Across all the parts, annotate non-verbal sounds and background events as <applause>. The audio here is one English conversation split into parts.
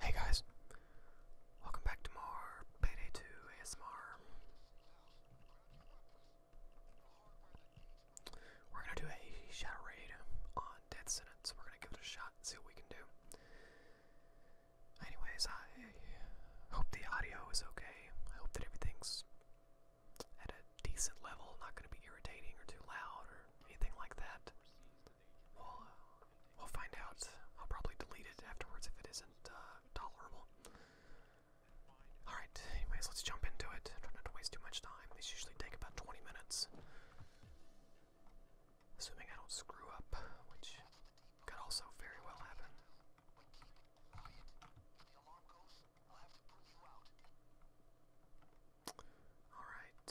Hey guys, welcome back to more Payday 2 ASMR. We're gonna do a shadow raid on Death Sentence. We're gonna give it a shot and see what we can do. Anyways, I hope the audio is okay. I hope that everything's at a decent level, not gonna be irritating or too loud or anything like that we we'll find out. I'll probably delete it afterwards if it isn't uh, tolerable. Alright, anyways, let's jump into it. Try not to waste too much time. These usually take about 20 minutes. Assuming I don't screw up, which could also very well happen. All right.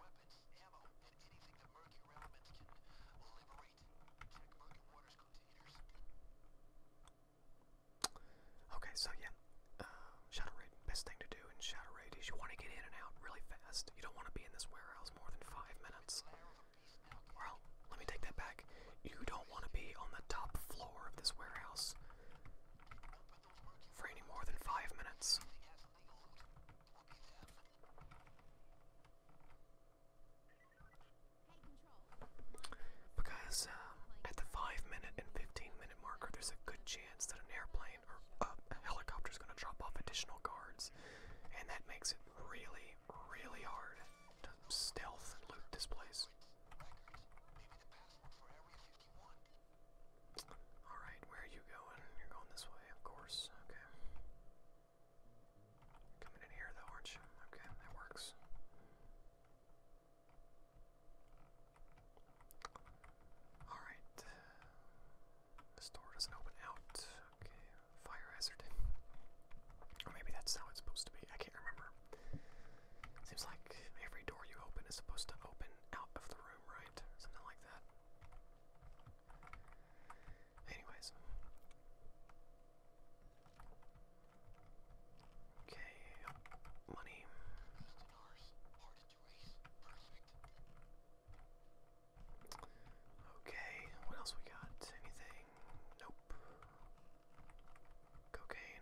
Weapons, Okay, so yeah, uh, Shadow Raid. Best thing to do in Shadow Raid is you want to get in and out really fast. You don't want to be in this warehouse more than five minutes. Well, let me take that back. You don't want to be on the top floor of this warehouse for any more than five minutes. Because um, at the 5 minute and 15 minute marker, there's a good chance that an airplane or a helicopter is going to drop off additional guards, and that makes it really, really hard to stealth loot this place. Alright, where are you going? You're going this way, of course. Okay. coming in here, though, aren't you? Okay, that works. Alright. This door doesn't open out. Okay, fire hazard. Or maybe that's how it's supposed to be. I can't remember. Seems like every door you open is supposed to open out of the right, something like that. Anyways. Okay, money. Okay, what else we got? Anything? Nope. Cocaine.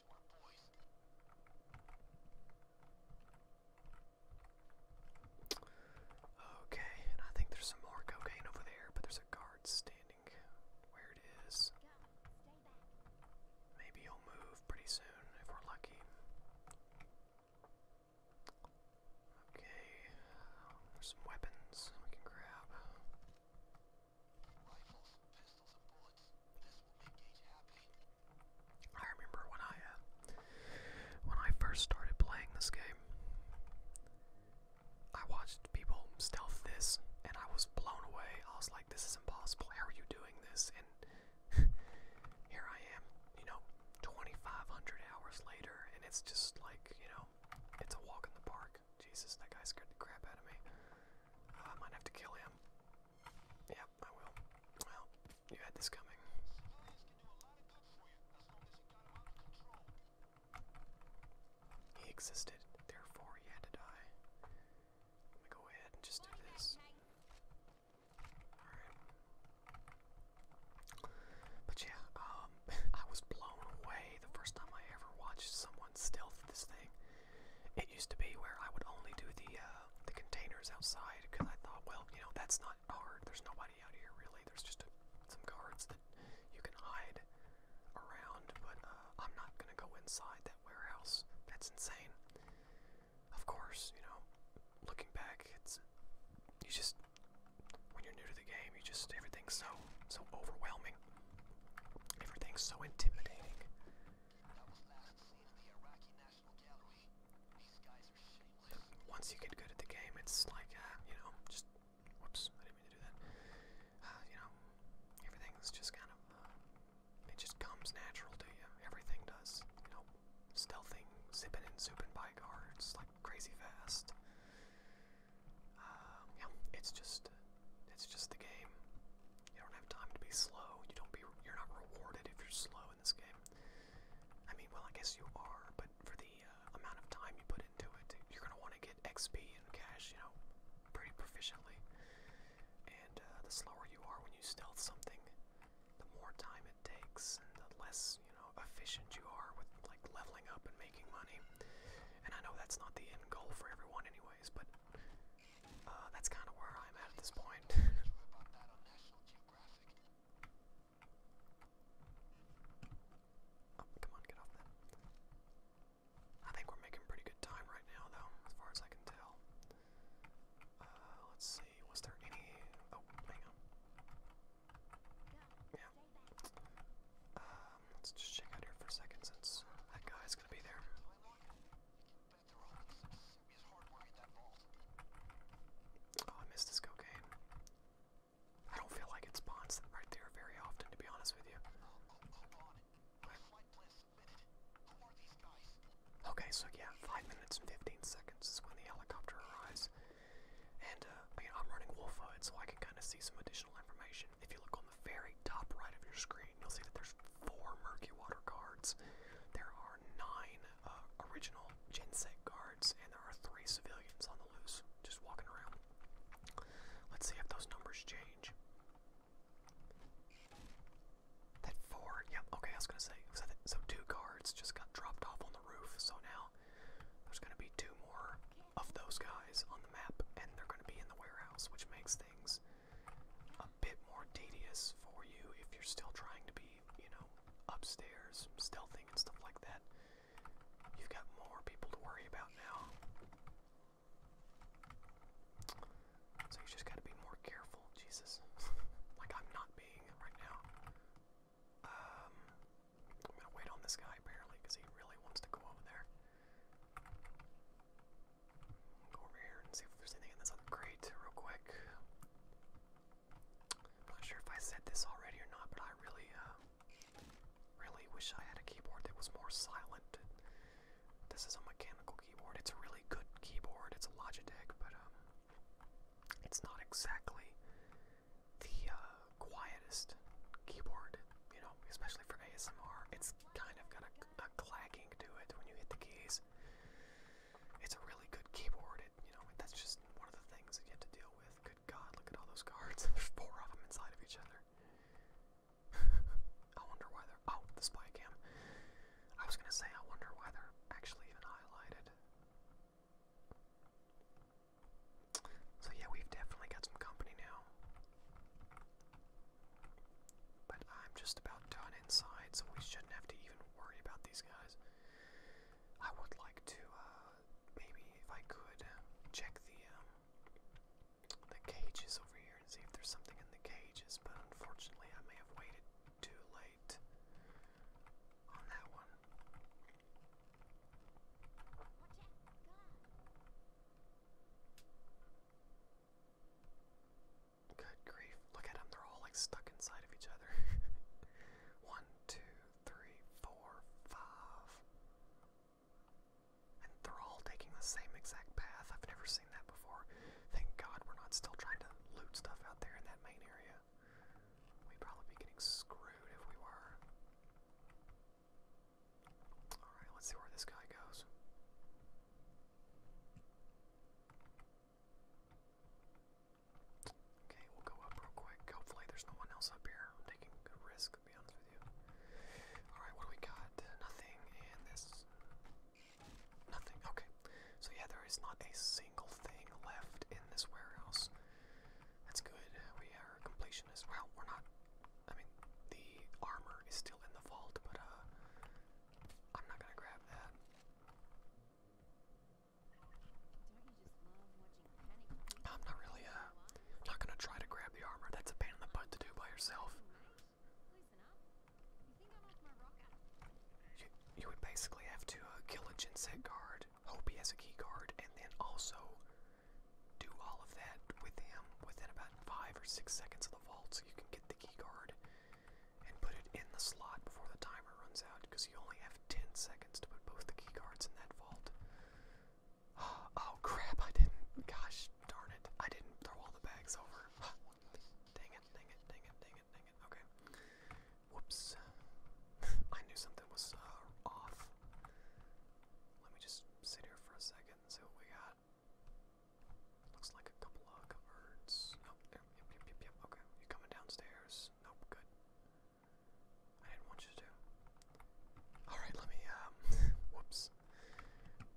Okay, I think there's some more cocaine over there, but there's a guard standing where it is. Maybe he'll move pretty soon if we're lucky. Okay, um, there's some weapons we can grab. I remember when I uh, when I first started playing this game, I watched people stealth this, and I was blown away. I was like, "This is impossible. How are you doing this?" And <laughs> here I am, you know, 2,500 hours later, and it's just like, you know, it's a walk in the park. Jesus, that guy scared the crap out of me. I might have to kill him. Yep, I will. Well, you had this coming. He existed, therefore he had to die. Let me go ahead and just do this. Alright. But yeah, um, <laughs> I was blown away the first time I ever watched someone stealth this thing. It used to be where I would only do the uh, the containers outside because I thought, well, you know, that's not hard. There's nobody out here really. There's just a, some guards that you can hide around, but uh, I'm not gonna go inside that warehouse. That's insane. Of course, you know, looking back, it's you just when you're new to the game, you just everything's so so overwhelming. Everything's so intimidating. Once you get good at the game, it's like, uh, you know, just, whoops, I didn't mean to do that. Uh, you know, everything's just kind of, uh, it just comes natural to you. Everything does, you know, stealthing, zipping and zooping by guards, like crazy fast. Um, yeah, it's just, it's just the game. You don't have time to be slow. You don't be you're not rewarded if you're slow in this game. I mean, well, I guess you are, but for the uh, amount of time you put into it, you're gonna want to get XP and cash, you know, pretty proficiently. And uh, the slower you are when you stealth something, the more time it takes, and the less you know efficient you are with like leveling up and making money. And I know that's not the end goal for everyone, anyways, but uh, that's kind of where I'm at at this point. Oh, come on, get off that. I think we're making pretty good time right now, though, as far as I can tell. Uh, let's see, was there any... Oh, hang on. Yeah. Um, let's just check out here for a second since that guy's gonna be there. Oh, I missed this cocaine. I don't feel like it spawns right there very often, to be honest with you. Okay, so yeah, 5 minutes and 15 seconds is when the helicopter arrives. And I uh, I'm running Wolf HUD, so I can kind of see some additional information. If you look on very top right of your screen, you'll see that there's four Murky Water cards. There are nine uh, original Genset cards, and there are three civilians on the loose, just walking around. Let's see if those numbers change. That four, yeah, okay, I was gonna say, so, two cards just got dropped off on the roof, so now there's gonna be two more of those guys on the map, and they're gonna be in the warehouse, which makes things a bit more tedious for you if you're still trying to be, you know, upstairs, stealthing and stuff like that. You've got more people to worry about now. So you just gotta be more careful, Jesus. <laughs> like I'm not being right now. Um, I'm gonna wait on this guy apparently because he really wants to go over there. Go over here and see if there's anything in this other crate real quick. not sure if I said this already or not, but I really, uh, really wish I had a keyboard that was more silent. This is a mechanical keyboard. It's a really good keyboard. It's a Logitech, but um, it's not exactly the uh, quietest keyboard. You know, especially for ASMR, it's kind of got a a clacking to it when you hit the keys. It's a really good keyboard. It, you know, that's just one of the things that you have to deal with. Good God, look at all those cards. <laughs> There's four of them inside of each other. <laughs> I wonder why they're. Oh, the spy cam. I was gonna say, I wonder why they're actually even highlighted. So yeah, we've definitely got some company now. But I'm just about done inside, so we shouldn't have to even worry about these guys. I would like to, uh, maybe if I could, uh, check the um, the cages over here and see if there's something in the cages. But unfortunately, I may have waited too late on that one. Good grief. Look at them, they're all like stuck inside of each other. <laughs> One, two, three, four, five. And they're all taking the same exact path. I've never seen that before. Thank God we're not still trying to loot stuff out there in that main area. We'd probably be getting screwed if we were. Alright, let's see where this guy goes. Okay, we'll go up real quick. Hopefully, there's no one else up here. taking a risk, to be honest with you. Alright, what do we got? Nothing, and this. Nothing, okay. So, yeah, there is not a single thing left in this warehouse. That's good. We are completionist. Well, we're not I mean, the armor is still in the vault, but uh, I'm not gonna grab that. I'm not really uh, not gonna try to grab the armor. That's a pain in the butt to do by yourself. You, you would basically have to uh, kill a Genset guard, hope he has a key guard, and then also do all of that with him within about five or six seconds of the vault, so you can get key card and put it in the slot before the timer runs out because you only have 10 seconds to put both the key cards in that vault. <gasps> Oh crap, I didn't. Gosh darn it. I didn't throw all the bags over. <sighs> dang it, dang it, dang it, dang it, dang it. Okay. Whoops. <laughs> I knew something was uh, off. Let me just sit here for a second and see what we got. Looks like a couple of cupboards. Nope. Yep, yep, yep, yep. Okay. You coming downstairs? Nope. Good. I didn't want you to. Alright, let me, um, <laughs> whoops.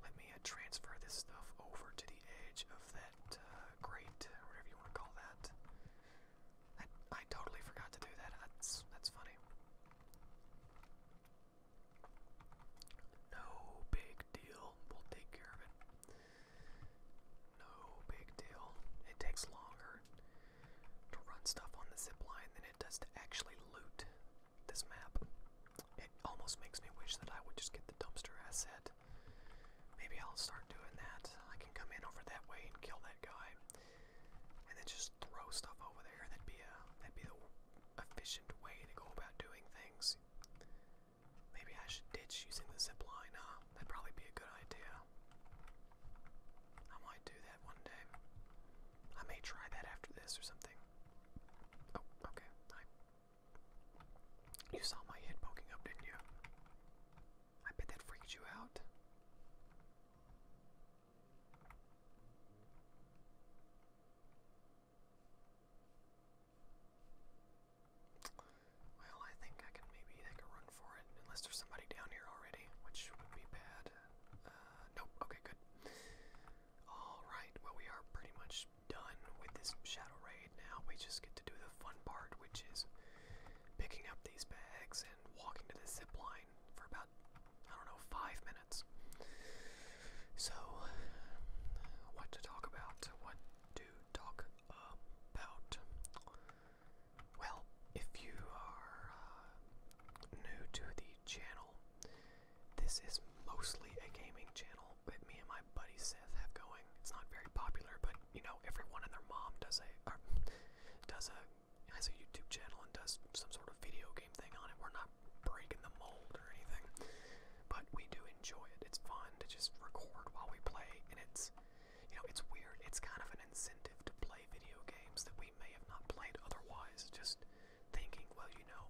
Let me uh, transfer this stuff over to the edge of that uh, whatever you want to call that. I, totally forgot to do that. that's funny. No big deal. We'll take care of it. No big deal. It takes longer to run stuff on the zip line than it does to actually loot this map. It almost makes me wish that I would just get the dumpster asset. Maybe I'll start doing that. I can come in over that way and kill that guy. And then just throw stuff over there. That'd be a that'd be the efficient way to go about doing things. Maybe I should ditch using the zip line, huh? Ah, that'd probably be a good idea. I might do that one day. I may try that after this or something. Oh, okay. Hi. You saw my head poking up, didn't you? I bet that freaked you out. Well, I think I can maybe take a run for it, unless there's somebody down here already, which would be bad. Uh, nope, okay, good. Alright, well, we are pretty much done with this shadow raid now. We just get to do the fun part, which is picking up these bags and walking to the zip line for about, I don't know, five minutes minutes. So, what to talk about? What to talk about? Well, if you are uh, new to the channel, this is mostly a gaming channel that me and my buddy Seth have going. It's not very popular, but you know, everyone and their mom does a does a has a YouTube channel and does some sort of video game thing on it. We're not breaking the mold or anything. But we do enjoy it. It's fun to just record while we play, and it's, you know, it's weird. It's kind of an incentive to play video games that we may have not played otherwise. Just thinking, well, you know,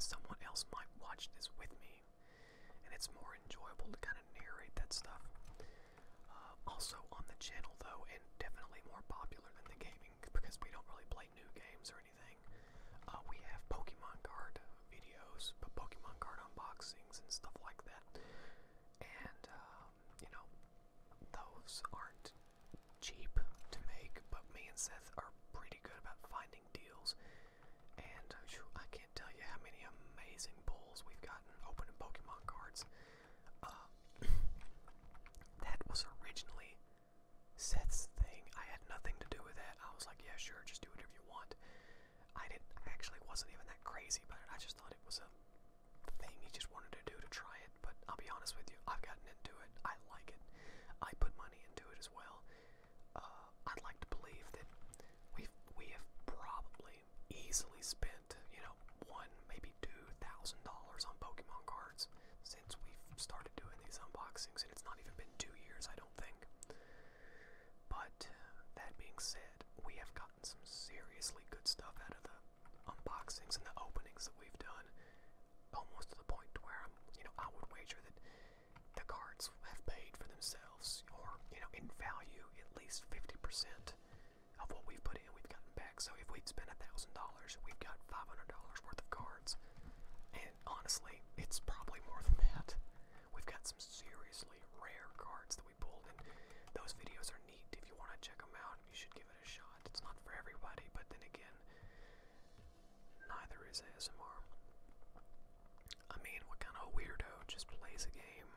someone else might watch this with me, and it's more enjoyable to kind of narrate that stuff. Uh, also on the channel, though, and definitely more popular than the gaming because we don't really play new games or anything. Uh, we have Pokemon card videos, but Pokemon card unboxings and stuff like that. And um, you know, those aren't cheap to make, but me and Seth are pretty good about finding deals. And uh, I can't tell you how many amazing pulls we've gotten opening Pokemon cards. Uh, <coughs> that was originally Seth's thing. I had nothing to do with that. I was like, yeah, sure, just do whatever you want. I didn't actually wasn't even that crazy about it. I just thought it was a thing he just wanted to do to try it. But I'll be honest with you, I've gotten into it. I like it. I put money into it as well. Uh, I'd like to believe that we we have probably easily spent you know one maybe two thousand dollars on Pokemon cards since we've started doing these unboxings, and it's not even been two years, I don't think. But that being said, we have gotten some seriously good stuff out of the unboxings and the openings that we've done, almost to the point to where I'm, you know, I would wager that the cards have paid for themselves, or you know, in value, at least 50% of what we've put in, we've gotten back. So if we'd spent a thousand dollars, we've got $500 worth of cards, honestly, it's probably more than that. We've got some seriously rare cards that we pulled, and those videos are neat. If you want to check them out, you should give it a shot. It's not for everybody, but then again, neither is ASMR. I mean, what kind of weirdo just plays a game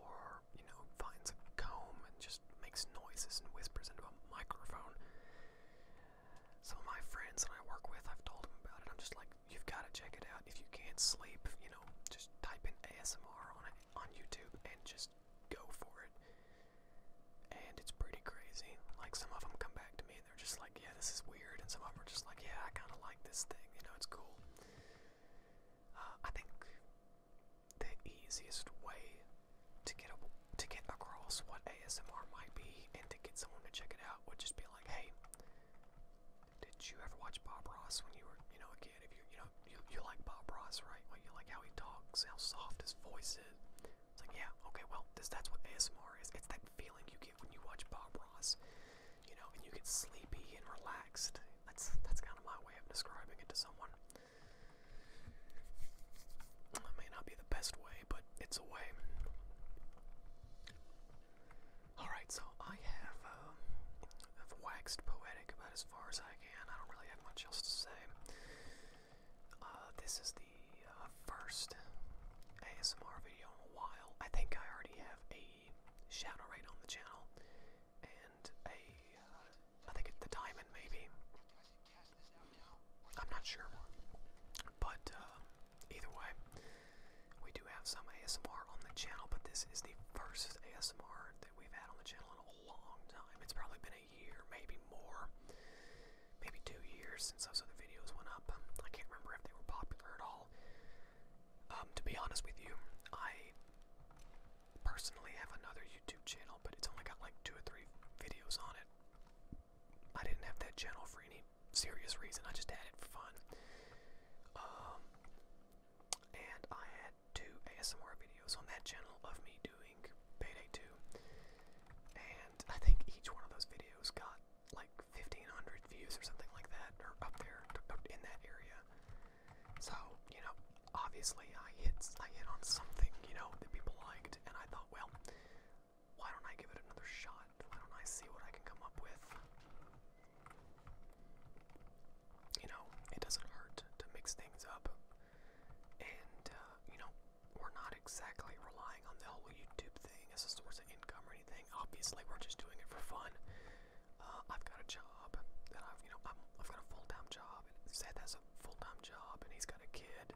or, you know, finds a comb and just makes noises and whispers into a microphone? Some of my friends that I work with, I've told them about it. I'm just like, you've got to check it out. If you can't sleep, you know, just type in ASMR on it, on YouTube and just go for it. And it's pretty crazy. Like some of them come back to me and they're just like, yeah, this is weird. And some of them are just like, yeah, I kind of like this thing. You know, it's cool. Uh, I think the easiest way to get to get across what ASMR might be and to get someone to check it out would just be like, hey, did you ever watch Bob Ross when you were, you know, a kid? If you, you know, you like Bob Ross, right? Well, you like how he talks, how soft his voice is. It's like, yeah, okay, well, this, that's what ASMR is. It's that feeling you get when you watch Bob Ross, you know, and you get sleepy and relaxed. That's that's kind of my way of describing it to someone. That may not be the best way, but it's a way. Alright, so I um, have, waxed poetic about as far as I can. I don't really have much else to say. Uh, this is the uh, first ASMR video in a while. I think I already have a shadow rate on the channel and a, uh, I think it's the diamond maybe. I'm not sure, but uh, either way, we do have some ASMR on the channel. But this is the first ASMR that we've had on the channel in a long time. It's probably been a year, maybe more, maybe two years since those other videos went up. I can't remember if they were popular at all. Um, to be honest with you, I personally have another YouTube channel, but it's only got like two or three videos on it. I didn't have that channel for any serious reason. I just had it for fun. Um, and I had two ASMR videos on that channel of me doing Payday 2. And I think each one of those videos got like 1,500 views or something like that, or up there in that area. So, you know, obviously I hit, I hit on something, you know, that people liked, and I thought, well, why don't I give it another shot? Why don't I see what I can come up with? You know, it doesn't hurt to mix things up. And, uh, you know, we're not exactly relying on the whole YouTube thing as a source of income or anything. Obviously, we're just doing it for fun. Uh, I've got a job that I've, you know, i have got a full time job. And that's full-time job and he's got a kid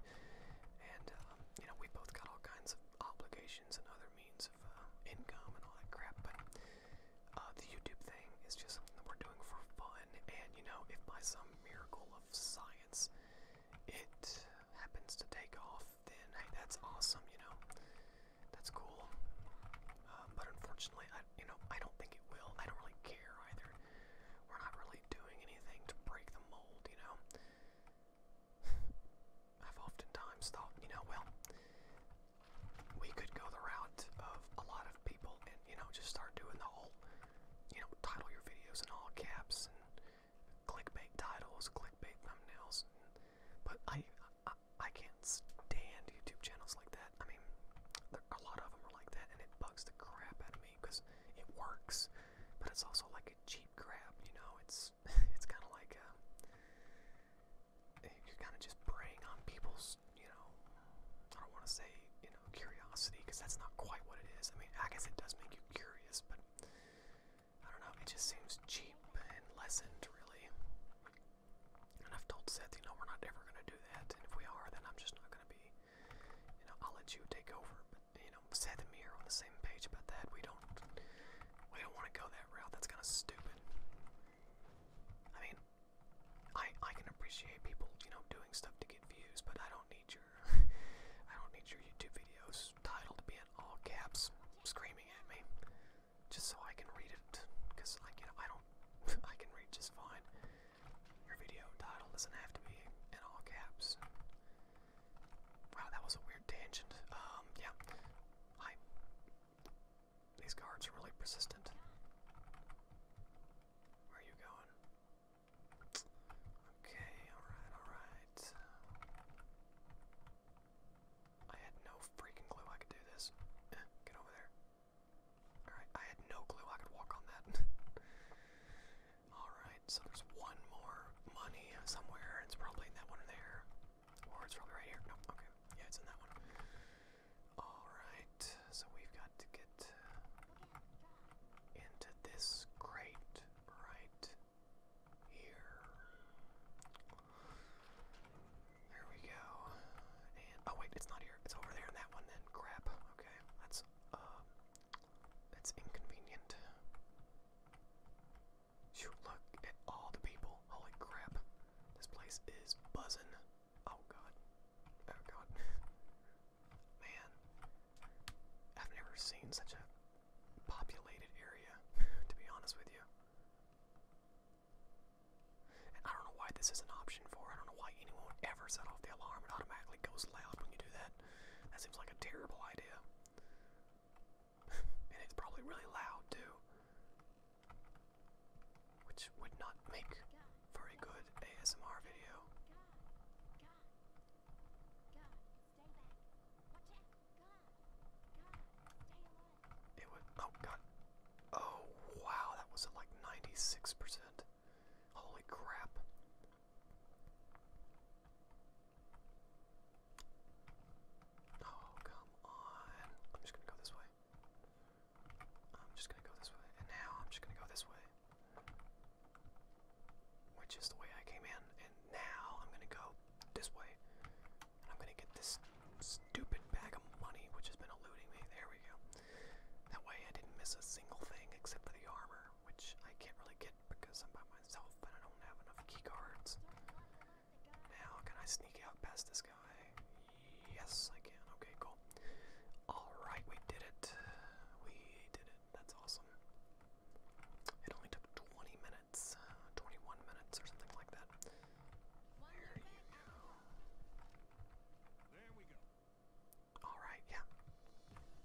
and um, you know we both got all kinds of obligations and other means of uh, income and all that crap but uh, the youtube thing is just something that we're doing for fun and you know if by some miracle of science it happens to take off then hey that's awesome you know that's cool um, but unfortunately i you know i don't think it will i don't really care either we're not really doing anything to break the mold you know I've oftentimes thought, you know, well, we could go the route of a lot of people and, you know, just start doing the whole, you know, title your videos in all caps and clickbait titles, clickbait thumbnails. And, but I, I, I can't stand YouTube channels like that. I mean, there, a lot of them are like that and it bugs the crap out of me because it works, but it's also like like cheap crap, you know. It's <laughs> it's kind of like uh, um, you're kind of just preying on people's, you know. I don't want to say you know curiosity because that's not quite what it is. I mean, I guess it does make you curious, but I don't know. It just seems cheap and lessened, really. And I've told Seth, you know, we're not ever gonna do that. And if we are, then I'm just not gonna be I'll let you take over. you know, Seth and me on the same page about that. We don't, we don't want to go that route. That's kind of stupid. I mean, I I can appreciate people, you know, doing stuff to get views, but I don't need your, <laughs> I don't need your YouTube videos titled to be in all caps, screaming at me, just so I can read it. Cause I, you I don't, <laughs> I can read just fine. Your video title doesn't have to be in all caps. Wow, that was a weird tangent. Um, yeah. Hi. These guards are really persistent. Where are you going? Okay, alright, alright. I had no freaking clue I could do this. Eh, get over there. Alright, I had no clue I could walk on that. <laughs> Alright, so there's one more money somewhere. It's probably in that one there. Or it's probably right here. okay. Yeah, it's in that one. Alright, so we've got to get into this crate right here. There we go. oh wait, it's not here. It's over there in that one then. Crap. Okay. let that's inconvenient. Shoot, look at all the people. Holy crap. This place is buzzing. Oh god. Oh god. Man. I've never seen such a populated area, <laughs> to be honest with you. I don't know why this is an option for. I don't know why anyone ever set off the alarm. It automatically goes loud when you do that. That seems like a terrible idea. <laughs> and it's probably really loud too. Which would not make for a good ASMR video. It would. Oh god. Oh wow, that was at like 96%. Holy crap. Oh, come on. I'm just gonna go this way. I'm just gonna go this way. And now I'm just gonna go this way. Which is the way I came in. And now I'm gonna go this way. And I'm gonna get this stupid bag of money which has been eluding me. There we go. That way I didn't miss a single thing except for the armor which I can't really get because I'm by myself and I don't have enough keycards. Now, can I sneak out past this guy? Yes, I can. Okay, cool. Alright, we did it. We did it. That's awesome. It only took 20 minutes, uh, 21 minutes or something like that. There you go. There we go. All right, yeah.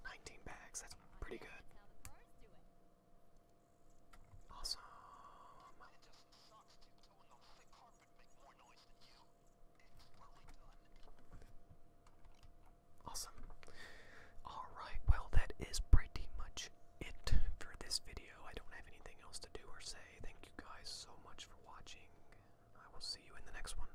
19 bags, that's pretty good. Awesome. Awesome. Alright, well, that is pretty much it for this video. I don't have anything else to do or say. Thank you guys so much for watching. I will see you in the next one.